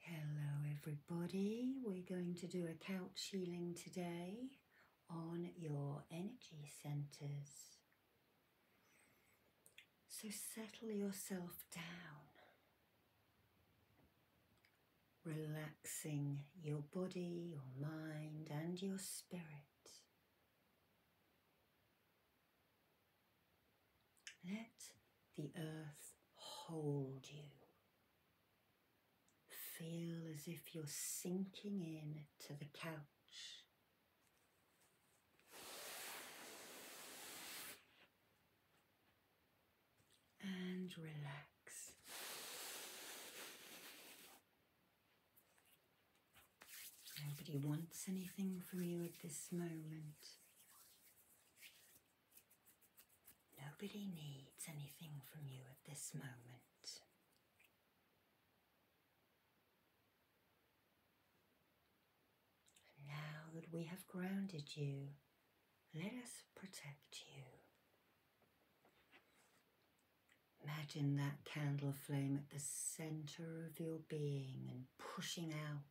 Hello everybody, we're going to do a couch healing today on your energy centers. So settle yourself down, relaxing your body, your mind and your spirit. Let the earth hold you. Feel as if you're sinking in to the couch. And relax. Nobody wants anything from you at this moment. Nobody needs anything from you at this moment. now that we have grounded you, let us protect you. Imagine that candle flame at the center of your being and pushing out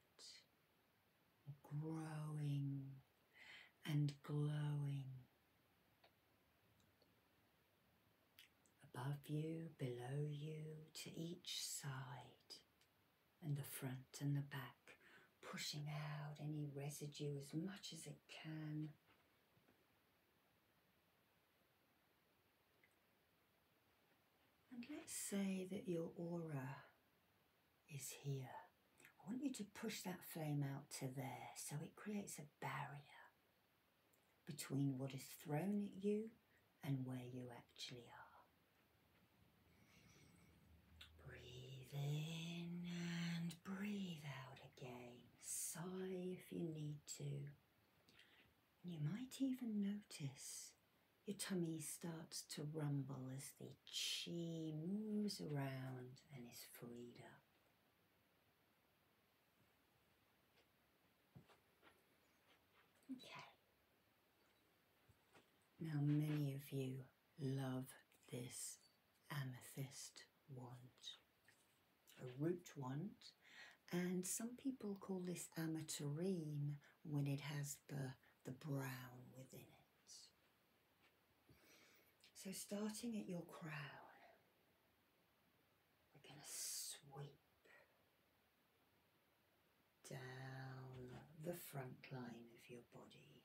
growing and glowing. Above you, below you, to each side, and the front and the back, pushing out any residue as much as it can. And let's say that your aura is here. I want you to push that flame out to there so it creates a barrier between what is thrown at you and where you actually are. Breathe in and breathe out again. Sigh if you need to. You might even notice your tummy starts to rumble as the chi moves around and is freed up. Okay. Now, many of you love this amethyst wand, a root wand, and some people call this ametarine when it has the, the brown within it. So, starting at your crown, we're going to sweep down the front line of your body.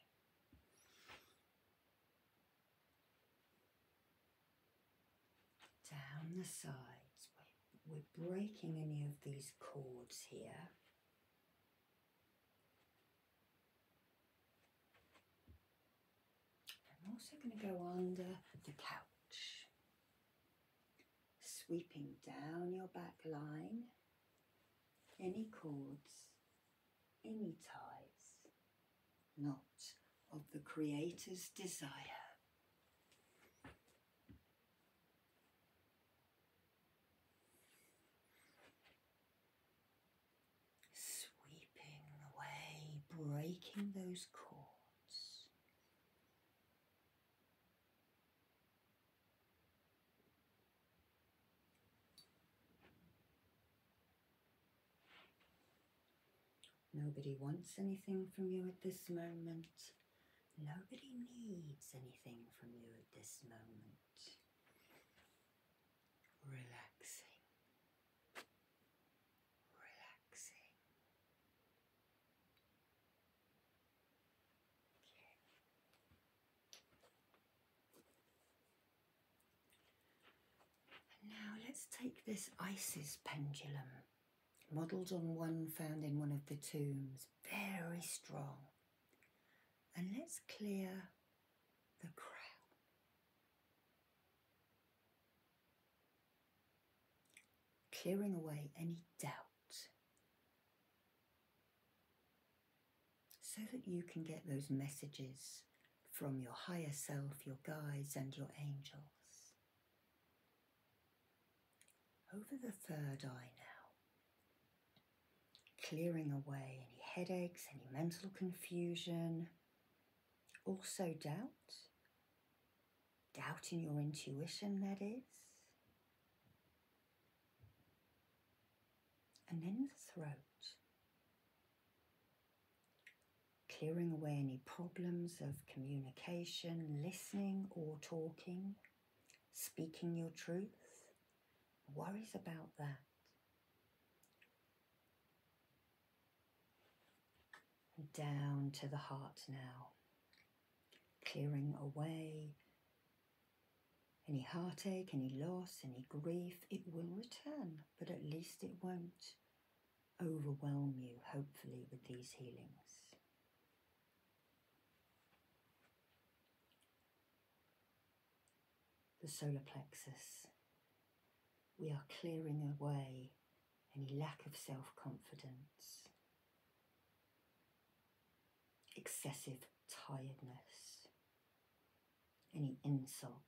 Down the sides. We're breaking any of these cords here. I'm also going to go under the couch, sweeping down your back line, any cords, any ties, not of the Creator's desire. Sweeping away, breaking those cords. Nobody wants anything from you at this moment. Nobody needs anything from you at this moment relaxing, relaxing. Okay. now let's take this Isis pendulum, modelled on one found in one of the tombs, very strong and let's clear the crown. Clearing away any doubt so that you can get those messages from your higher self, your guides, and your angels. Over the third eye now, clearing away any headaches, any mental confusion, also doubt, doubt in your intuition, that is. And then the throat, clearing away any problems of communication, listening or talking, speaking your truth, worries about that. Down to the heart now, clearing away any heartache, any loss, any grief. It will return, but at least it won't overwhelm you, hopefully, with these healings the solar plexus. We are clearing away any lack of self confidence, excessive tiredness, any insults.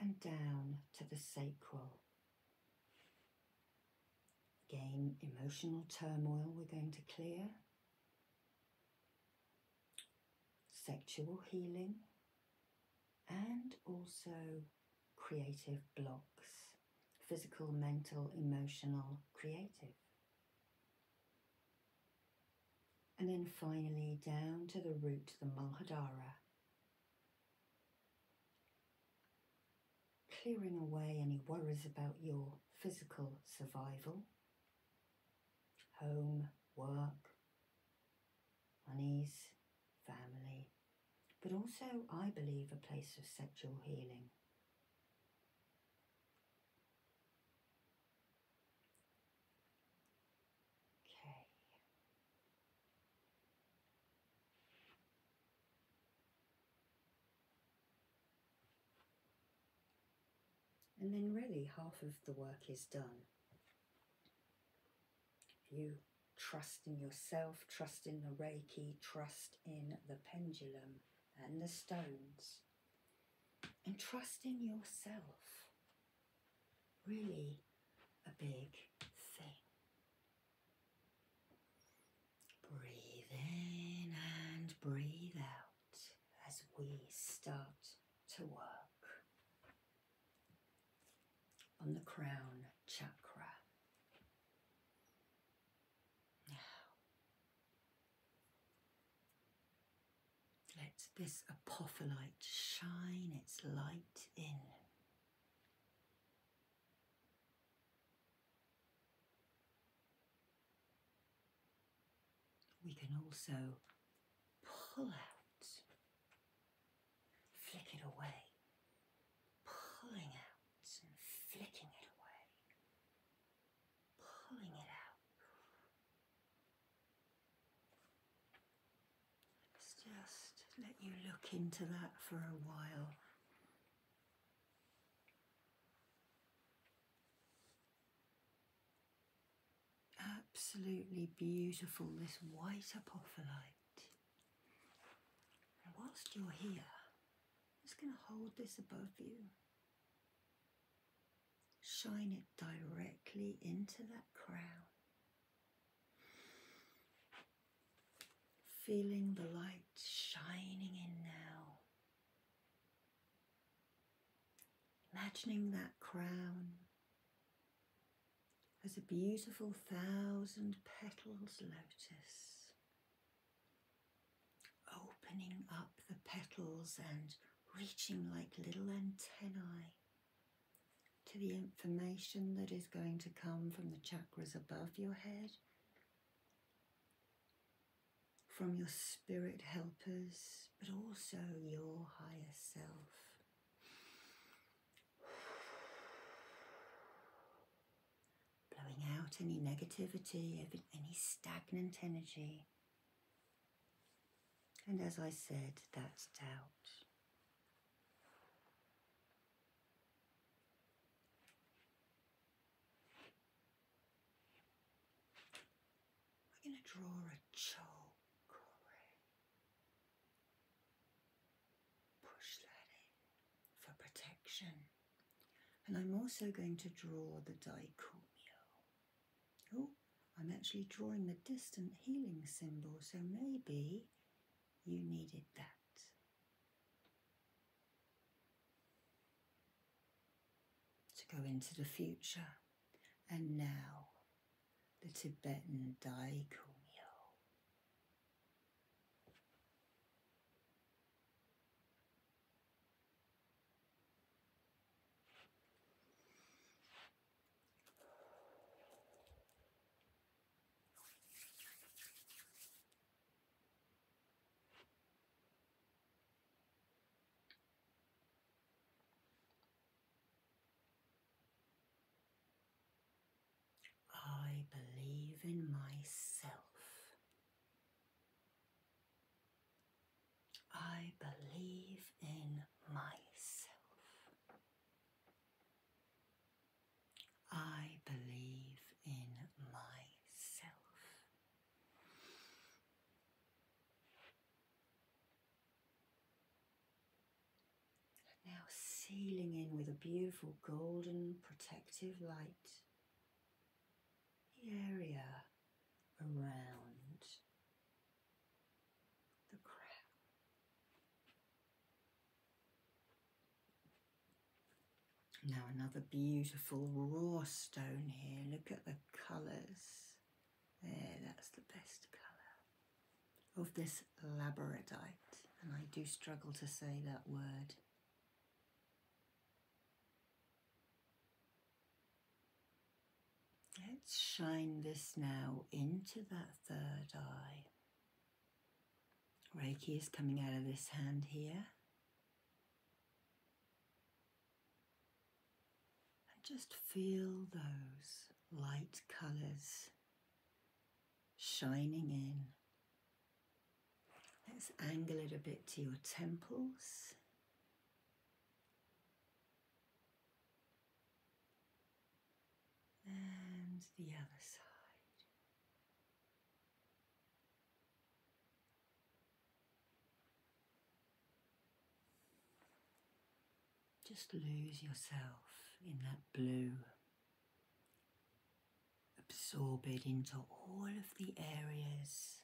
And down to the sacral Again, emotional turmoil we're going to clear. Sexual healing and also creative blocks physical, mental, emotional, creative. And then finally down to the root, the Malhadara clearing away any worries about your physical survival, home, work, monies, family, but also, I believe, a place of sexual healing. Okay. And then, really, half of the work is done. You trust in yourself, trust in the Reiki, trust in the pendulum and the stones, and trust in yourself. Really a big thing. Breathe in and breathe out as we start to work on the crown chakra. Now, let this apophyllite shine its light in. We can also pull out, flick it away, pulling out and flicking it away, pulling it out. Let's just let you look into that for a while. Absolutely beautiful, this white apophyllite. whilst you're here, I'm just going to hold this above you. Shine it directly into that crown. Feeling the light shining in now Imagining that crown as a beautiful thousand petals lotus, opening up the petals and reaching like little antennae to the information that is going to come from the chakras above your head from your spirit helpers, but also your higher self. Blowing out any negativity, any stagnant energy. And as I said, that's doubt. We're going to draw a choke, Push that in for protection. And I'm also going to draw the dicomio. Oh, I'm actually drawing the distant healing symbol, so maybe you needed that. To go into the future and now, the Tibetan Daiku. I believe in myself. I believe in myself. I believe in myself. Now sealing in with a beautiful golden protective light the area around the crown. Now another beautiful raw stone here. Look at the colours. There, that's the best colour of this labradite. And I do struggle to say that word. Let's shine this now into that third eye. Reiki is coming out of this hand here. And just feel those light colours shining in. Let's angle it a bit to your temples. And the other side. Just lose yourself in that blue, absorb it into all of the areas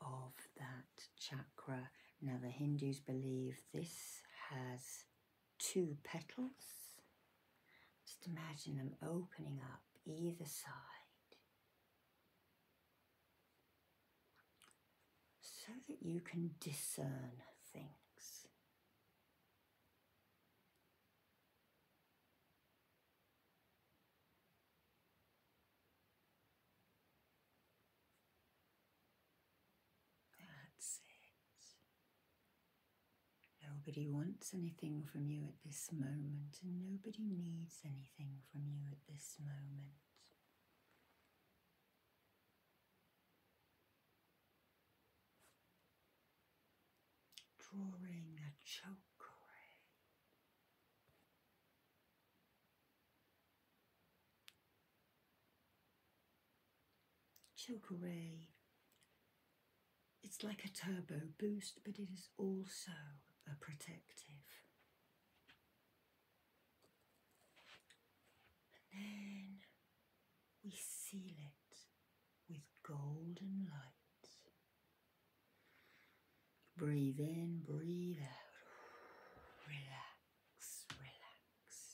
of that chakra. Now, the Hindus believe this has two petals. Just imagine them opening up either side so that you can discern things. That's it. Nobody wants anything from you at this moment, and nobody needs anything from you at this moment. Drawing a choke. choke it's like a turbo boost, but it is also a protective. And then we seal it with golden light. Breathe in, breathe out. Relax, relax.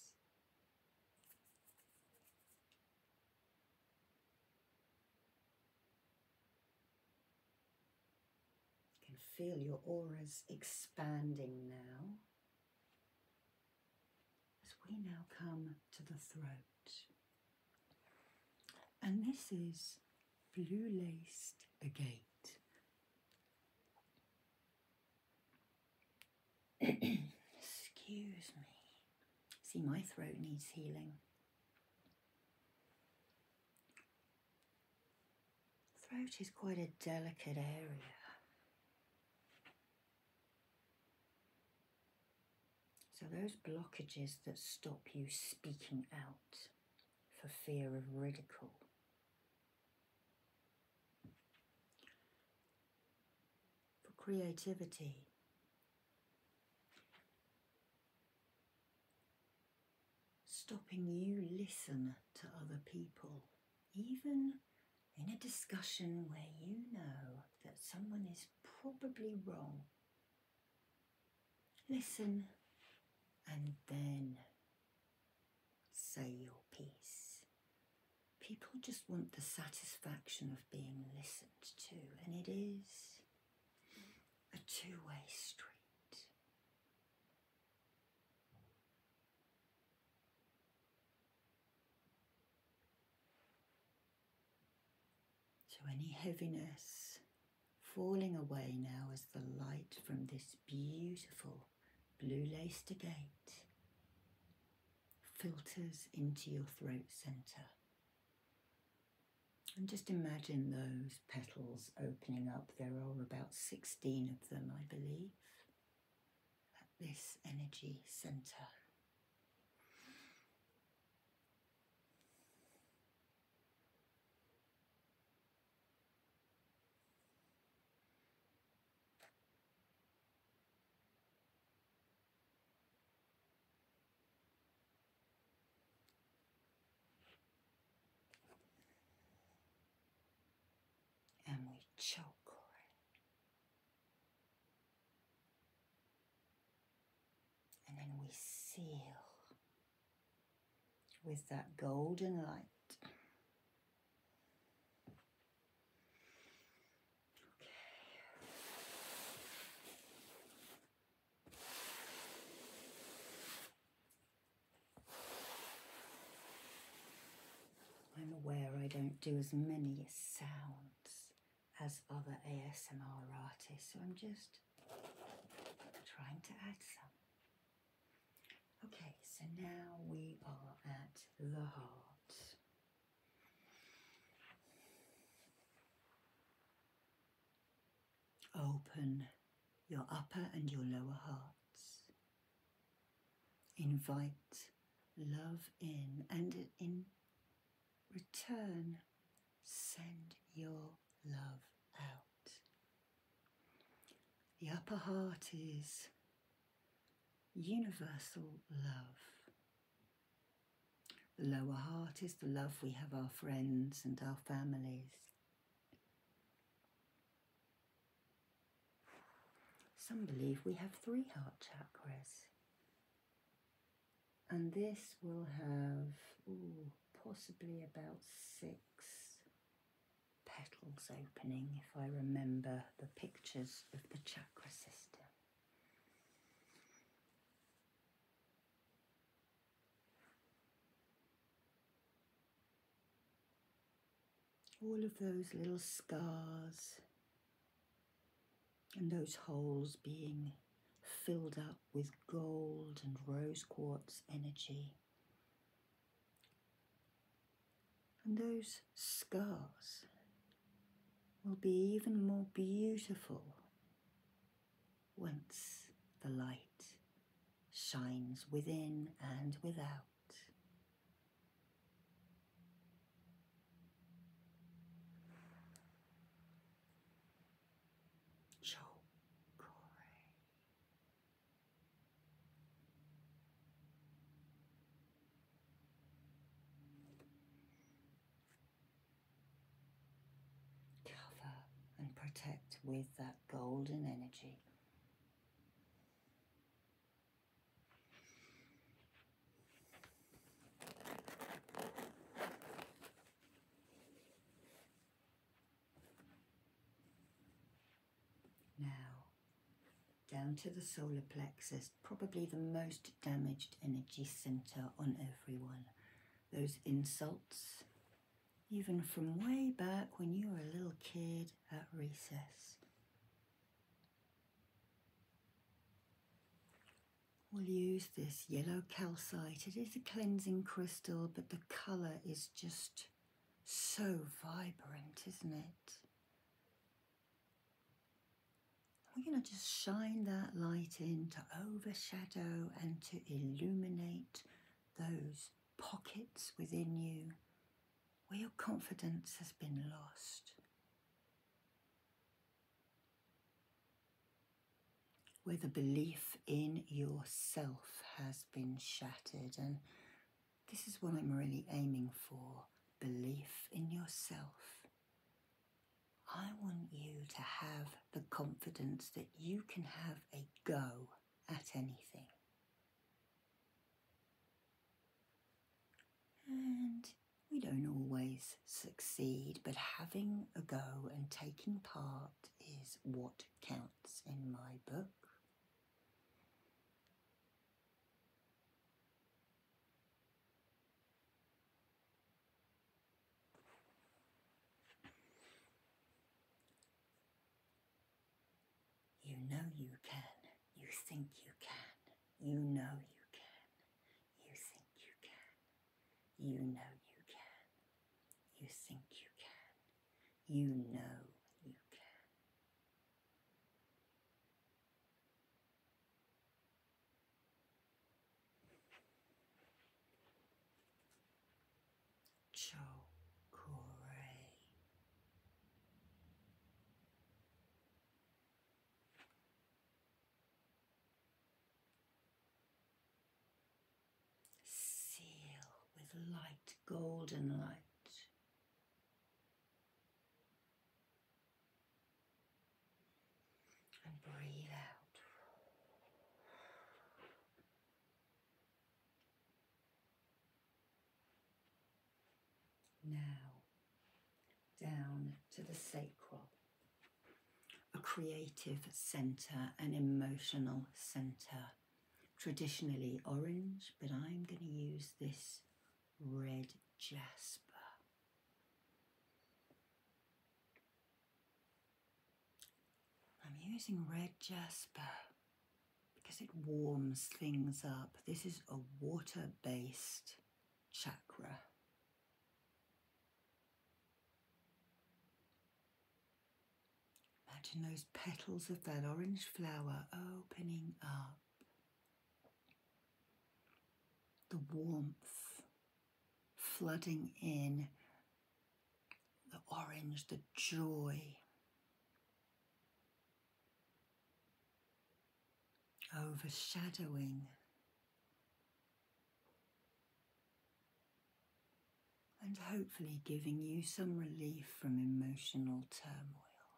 You can feel your auras expanding now as we now come to the throat. And this is blue laced agate. Excuse me. See, my throat needs healing. Throat is quite a delicate area. So those blockages that stop you speaking out for fear of ridicule for creativity. Stopping you listen to other people, even in a discussion where you know that someone is probably wrong. Listen and then say your piece. People just want the satisfaction of being listened to, and it is a two way street. So, any heaviness falling away now as the light from this beautiful blue laced gate filters into your throat center and just imagine those petals opening up. There are about 16 of them, I believe, at this energy center. And we choke on it. And then we seal with that golden light. Okay. I'm aware I don't do as many sounds as other ASMR artists, so I'm just trying to add some. Okay, so now we are at the heart. Open your upper and your lower hearts. Invite love in and in return send your love out. The upper heart is universal love the lower heart is the love we have our friends and our families. Some believe we have three heart chakras. And this will have possibly about six petals opening if I remember the pictures of the chakra system all of those little scars and those holes being filled up with gold and rose quartz energy. And those scars will be even more beautiful once the light shines within and without. Cover and protect with that golden energy. Now, down to the solar plexus, probably the most damaged energy center on everyone those insults, even from way back when you were a little kid at recess. We'll use this yellow calcite. It is a cleansing crystal, but the colour is just so vibrant, isn't it? We're going to just shine that light in to overshadow and to illuminate those pockets within you where your confidence has been lost. Where the belief in yourself has been shattered. And this is what I'm really aiming for belief in yourself I want you to have the confidence that you can have a go at anything. And we don't always succeed, but having a go and taking part is what counts in my book. You know you can. You think you can. You know you can. You think you can. You know you can. You think you can. You know you can. Chocorate. Seal with light, golden light and breathe out. Now, down to the sacral, a creative centre, an emotional centre. Traditionally orange, but I'm going to use this red jasper. I'm using red jasper because it warms things up. This is a water-based chakra. Imagine those petals of that orange flower opening up. The warmth flooding in the orange, the joy. Overshadowing and hopefully giving you some relief from emotional turmoil,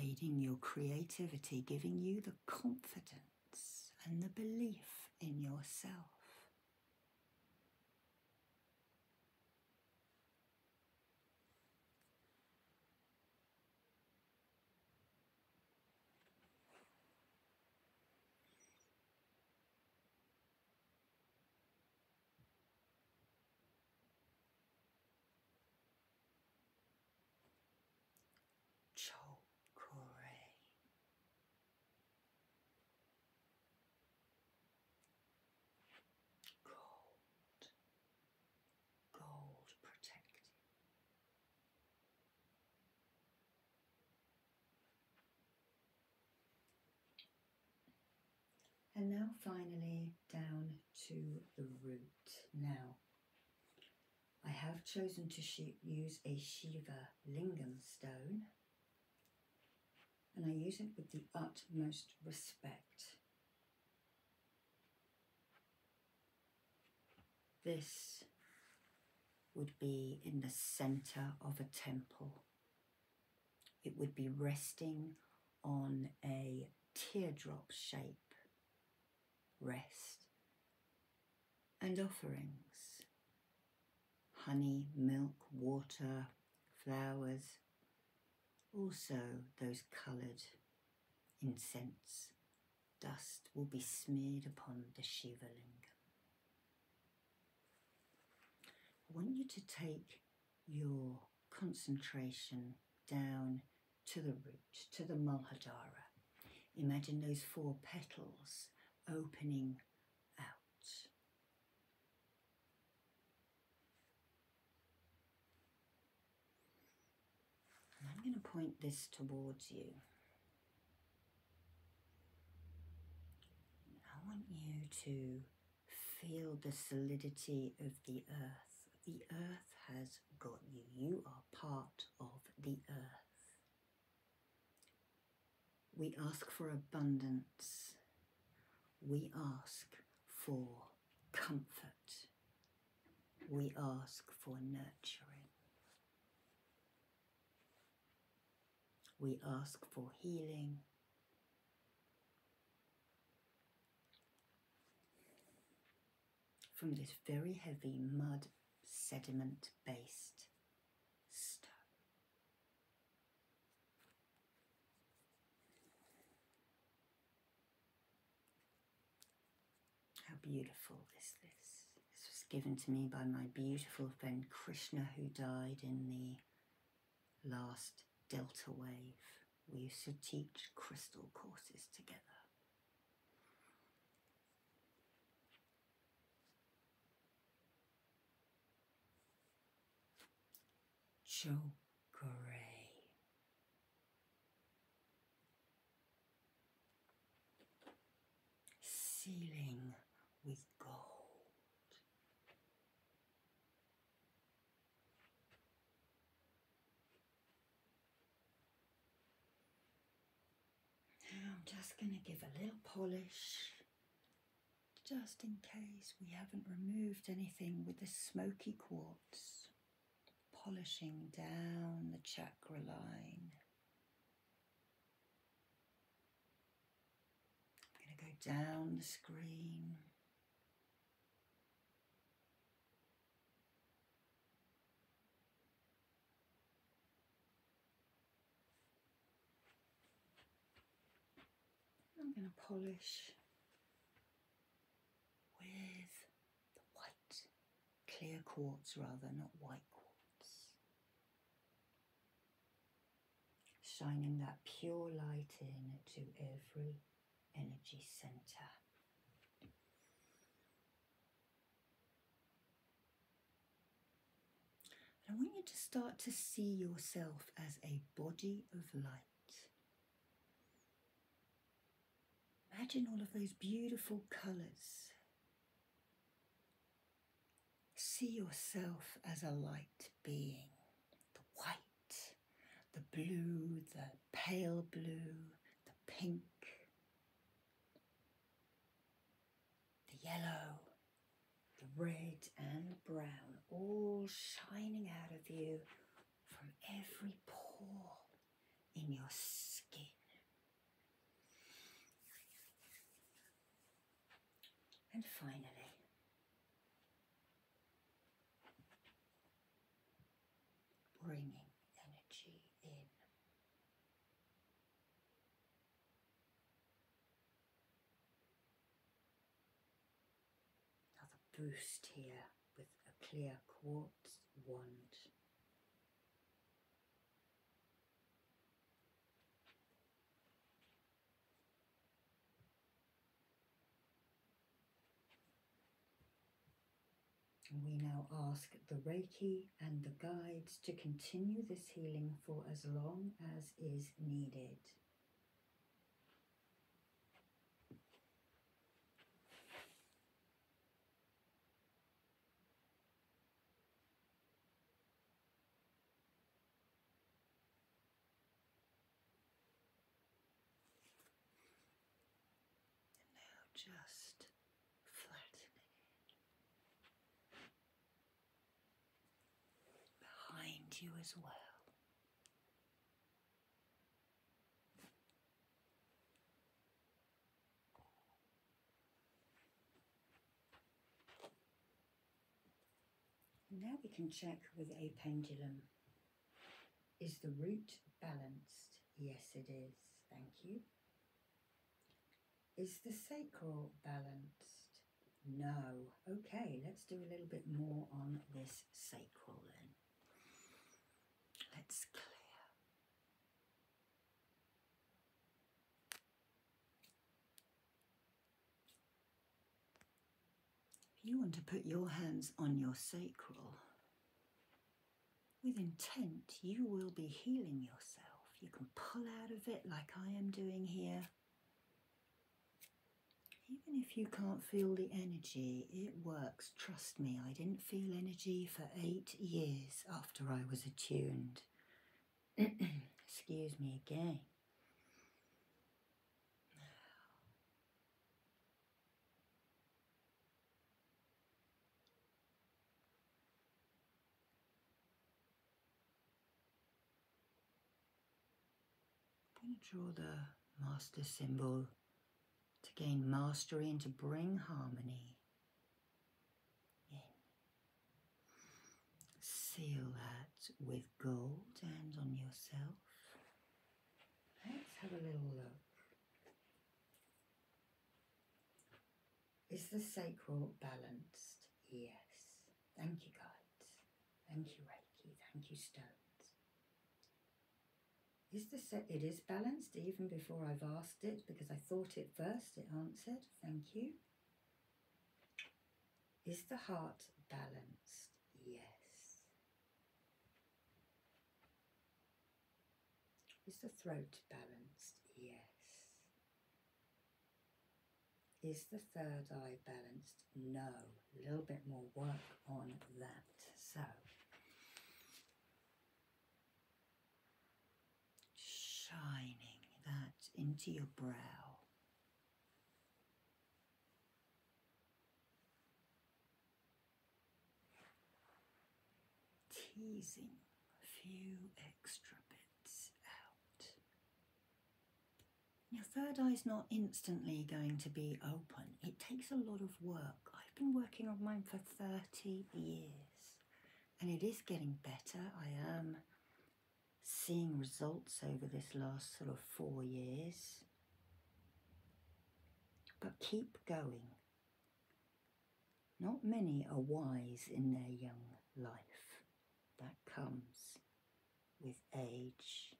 aiding your creativity, giving you the confidence and the belief in yourself. Chokore. Gold. Gold protected. And now finally down to the root. Now I have chosen to use a Shiva Lingam stone and I use it with the utmost respect. This would be in the center of a temple. It would be resting on a teardrop shape rest, and offerings honey, milk, water, flowers, also those coloured incense. Dust will be smeared upon the Shiva I want you to take your concentration down to the root, to the Mulhadara, Imagine those four petals opening out. I'm going to point this towards you. I want you to feel the solidity of the earth. The earth has got you. You are part of the earth. We ask for abundance. We ask for comfort. We ask for nurturing. We ask for healing from this very heavy mud sediment based stuff. How beautiful is this? This was given to me by my beautiful friend Krishna, who died in the last delta wave. We used to teach crystal courses together. Joe Ceiling with gold. I'm just going to give a little polish just in case we haven't removed anything with the smoky quartz. Polishing down the chakra line. I'm going to go down the screen. I'm going to polish with the white, clear quartz rather, not white quartz. Shining that pure light in to every energy center. I want you to start to see yourself as a body of light. Imagine all of those beautiful colours. See yourself as a light being. The white, the blue, the pale blue, the pink the yellow, the red, and the brown all shining out of you from every pore in your skin. And finally, bringing energy in. Another boost here with a clear quartz wand. And we now ask the Reiki and the guides to continue this healing for as long as is needed. And now just flattening behind you as well. Now we can check with a pendulum. Is the root balanced? Yes, it is. Thank you. Is the sacral balanced? No. Okay, let's do a little bit more on this sacral then. Let's clear. you want to put your hands on your sacral, with intent, you will be healing yourself. You can pull out of it like I am doing here. Even if you can't feel the energy, it works. Trust me, I didn't feel energy for eight years after I was attuned. Excuse me again. I'm going to draw the master symbol to gain mastery and to bring harmony in. Seal that with gold and on yourself. Let's have a little look. Is the sacral balanced? Yes. Thank you, guides. Thank you, Reiki. Thank you, stones. Is the sa- it is balanced even before I've asked it because I thought it first, it answered. Thank you. Is the heart balanced? Yes. Is the throat balanced? Yes. Is the third eye balanced? No. A little bit more work on that. So, shining that into your brow. Teasing a few extra bits. Your third eye is not instantly going to be open. It takes a lot of work. I've been working on mine for 30 years and it is getting better. I am seeing results over this last sort of four years. But keep going. Not many are wise in their young life that comes with age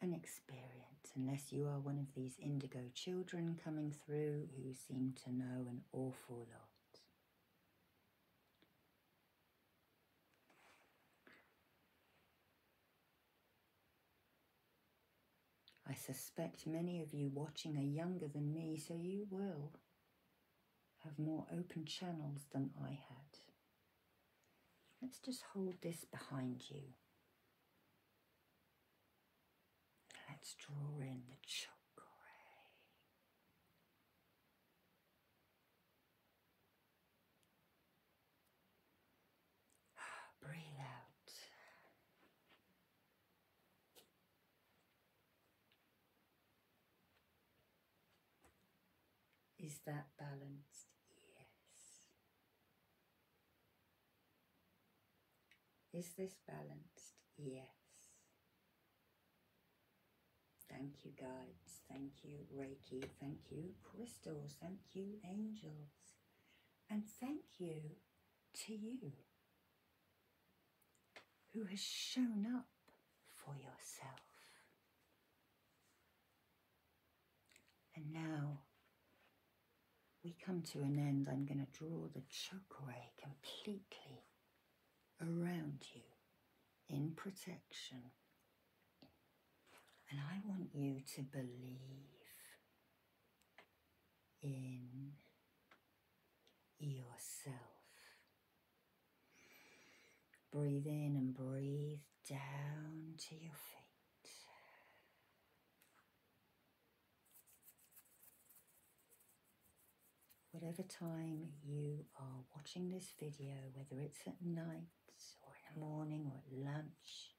and experience, unless you are one of these indigo children coming through who seem to know an awful lot. I suspect many of you watching are younger than me, so you will have more open channels than I had. Let's just hold this behind you. Let's draw in the chakra. Breathe out. Is that balanced? Yes. Is this balanced? Yes. Thank you, guides. Thank you, Reiki. Thank you, crystals. Thank you, angels. And thank you to you who has shown up for yourself. And now we come to an end. I'm going to draw the chakra ray completely around you in protection. And I want you to believe in yourself. Breathe in and breathe down to your feet. Whatever time you are watching this video, whether it's at night or in the morning or at lunch,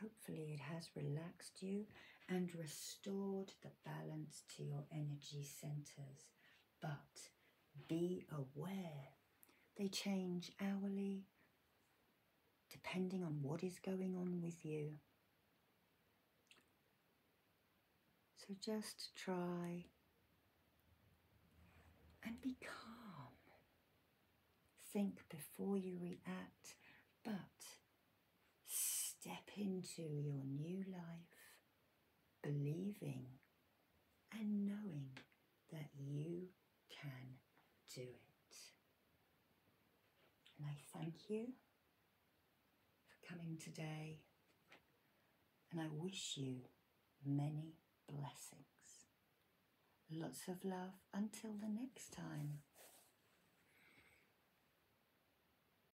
hopefully it has relaxed you and restored the balance to your energy centers, but be aware. They change hourly depending on what is going on with you. So just try and be calm. Think before you react, but Step into your new life, believing and knowing that you can do it. And I thank you for coming today, and I wish you many blessings. Lots of love until the next time.